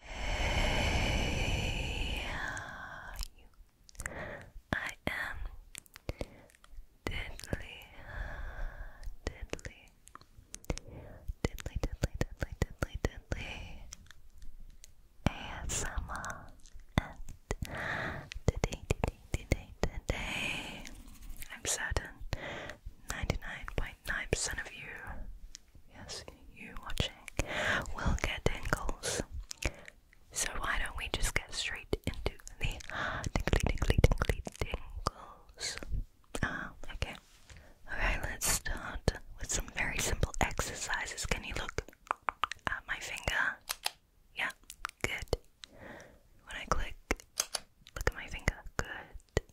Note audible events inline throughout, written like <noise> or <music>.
Hey, I am Diddly, Diddly, Diddly, Diddly, Diddly, Diddly, Diddly, ASMR, and today, today, today, today, I'm certain 99.9% percent of you Yes, you watching will get tingles. So why don't we just get straight into the tingly, tingly, tingly tingles? Ah, uh, okay. let's start with some very simple exercises. Can you look at my finger? Yeah, good. When I click, look at my finger. Good.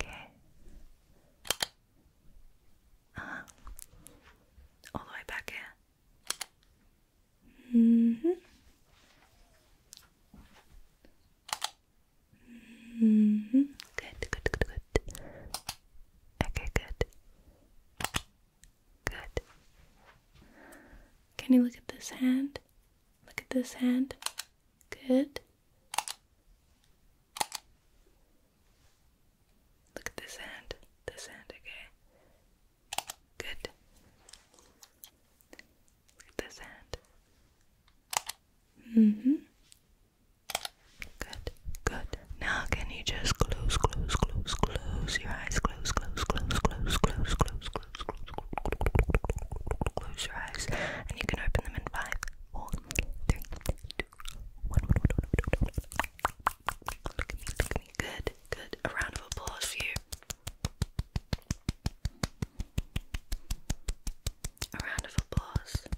Okay. Uh All the way back here. -hmm. -hmm. Good, good, good, good. Okay, good. Good. Can you look at this hand? Look at this hand. Good. Look at this hand. This hand, okay. Good. Look at this hand. hmm Good. Good. Now can you just close, close, close, close your eyes, close, close, close, close, close, close, close, close, close, close your eyes. And you can open them in five, four, three, two, one. Look at me, look at me. Good, good. A round of applause for you. A round of applause.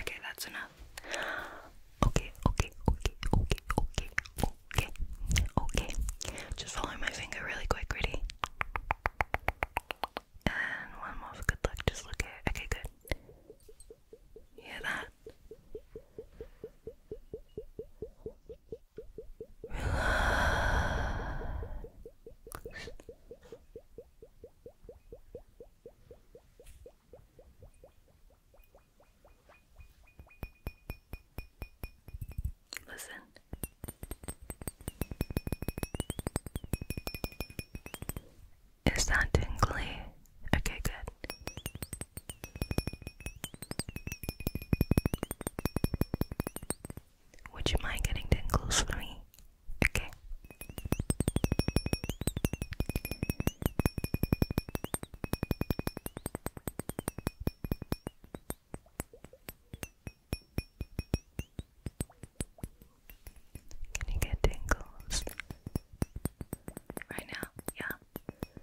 Okay, that's enough. Okay, okay, okay, okay, okay, okay, okay. Just follow my finger really quick, ready? And one more good luck, just look here. Okay, good. hear that? Listen. Is that tingly? Okay, good. Would you mind getting tingles for me? Okay. Can you get tingles right now? Yeah. Tingles.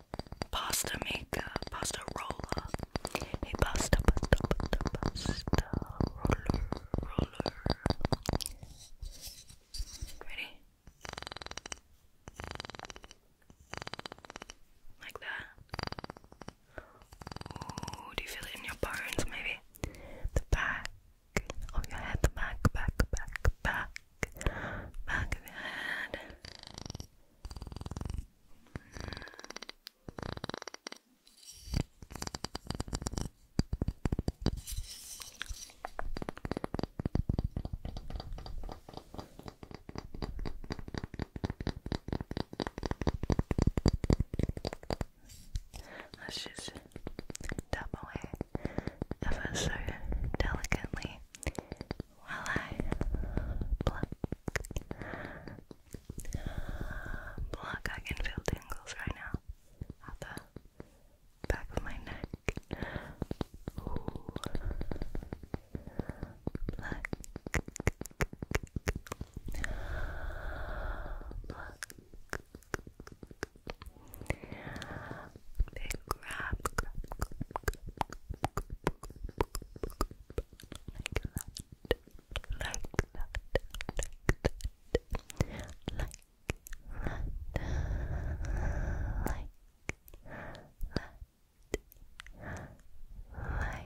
pasta maker, pasta roller, a pasta, pasta, pasta, pasta roller, roller. Ready? Like that. Ooh, do you feel it in your bones? Maybe the back of your head, the back, back, back, back, back of your head. Let's just tap away ever so delicately while I pluck. Pluck, I can feel tingles right now at back of my neck. Ooh. Pluck. Then grab, grab, grab, grab, grab, like that, like that, like that, like that, like that, like that. Like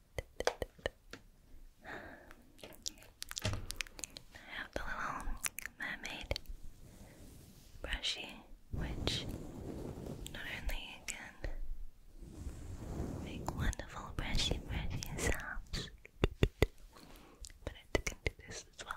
I have the little mermaid brushy, which not only can make wonderful brushy, brushy sounds, but it can do this as well.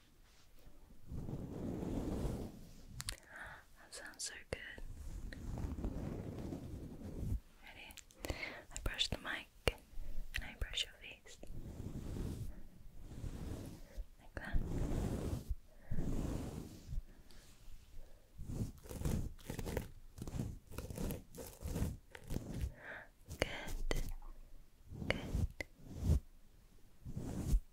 That sounds so good. Ready? I brush the mic and I brush your face. Like that. Good. Good.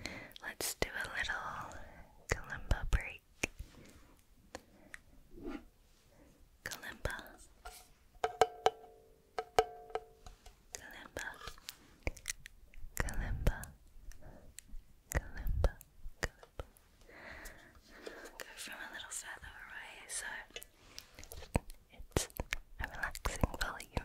Alright, let's do a little kalimba break. Kalimba, kalimba, kalimba, kalimba, go from a little further away so it's a relaxing volume.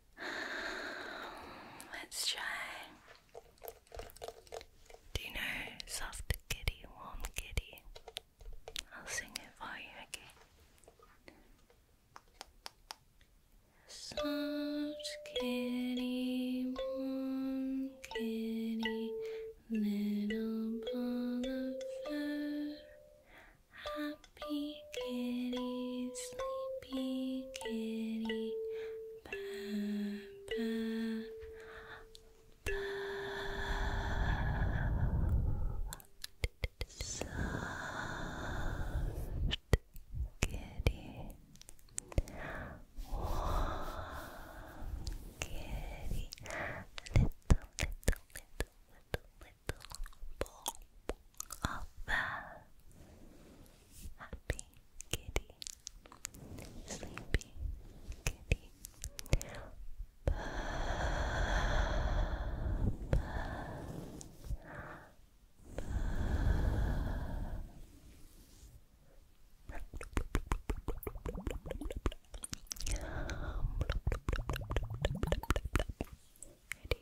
<sighs> Let's try. Do you know soft kitty, warm kitty? I'll sing it for you, okay? Soft kitty, warm kitty, little ball of fur, happy kitty, sleepy kitty, ba Soft kitty, warm kitty, little little little little little ball Happy kitty, sleepy kitty. Purr, purr, purr. Ready? Good.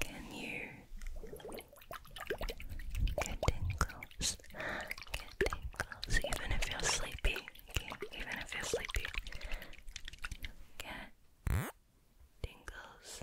Can you get tingles? Get tingles even if you're sleepy. Even if you're sleepy. Get tingles.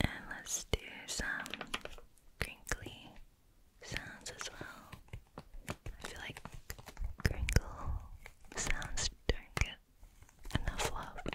And let's do some crinkly sounds as well. I feel like crinkle sounds don't get enough love.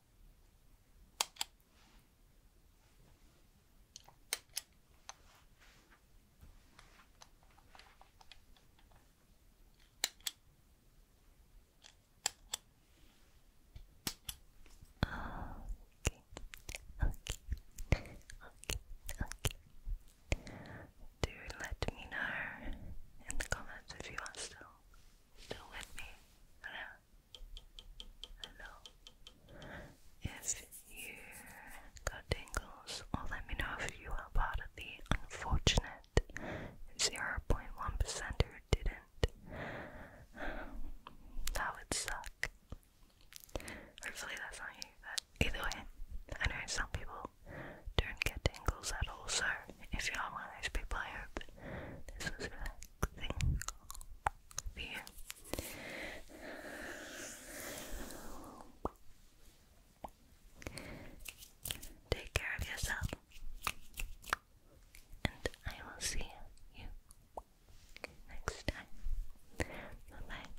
Okay. Okay. Okay. Okay. Do let me know in the comments if you are still still with me. I if you got tingles, or let me know if you are part of the unfortunate 0.1% who didn't. That would suck. Hopefully, that's not you, but either way, I know some people don't get tingles at all, so if you are one of those people, I hope this was relaxing relaxing Take care of yourself, and I will see you next time. bye.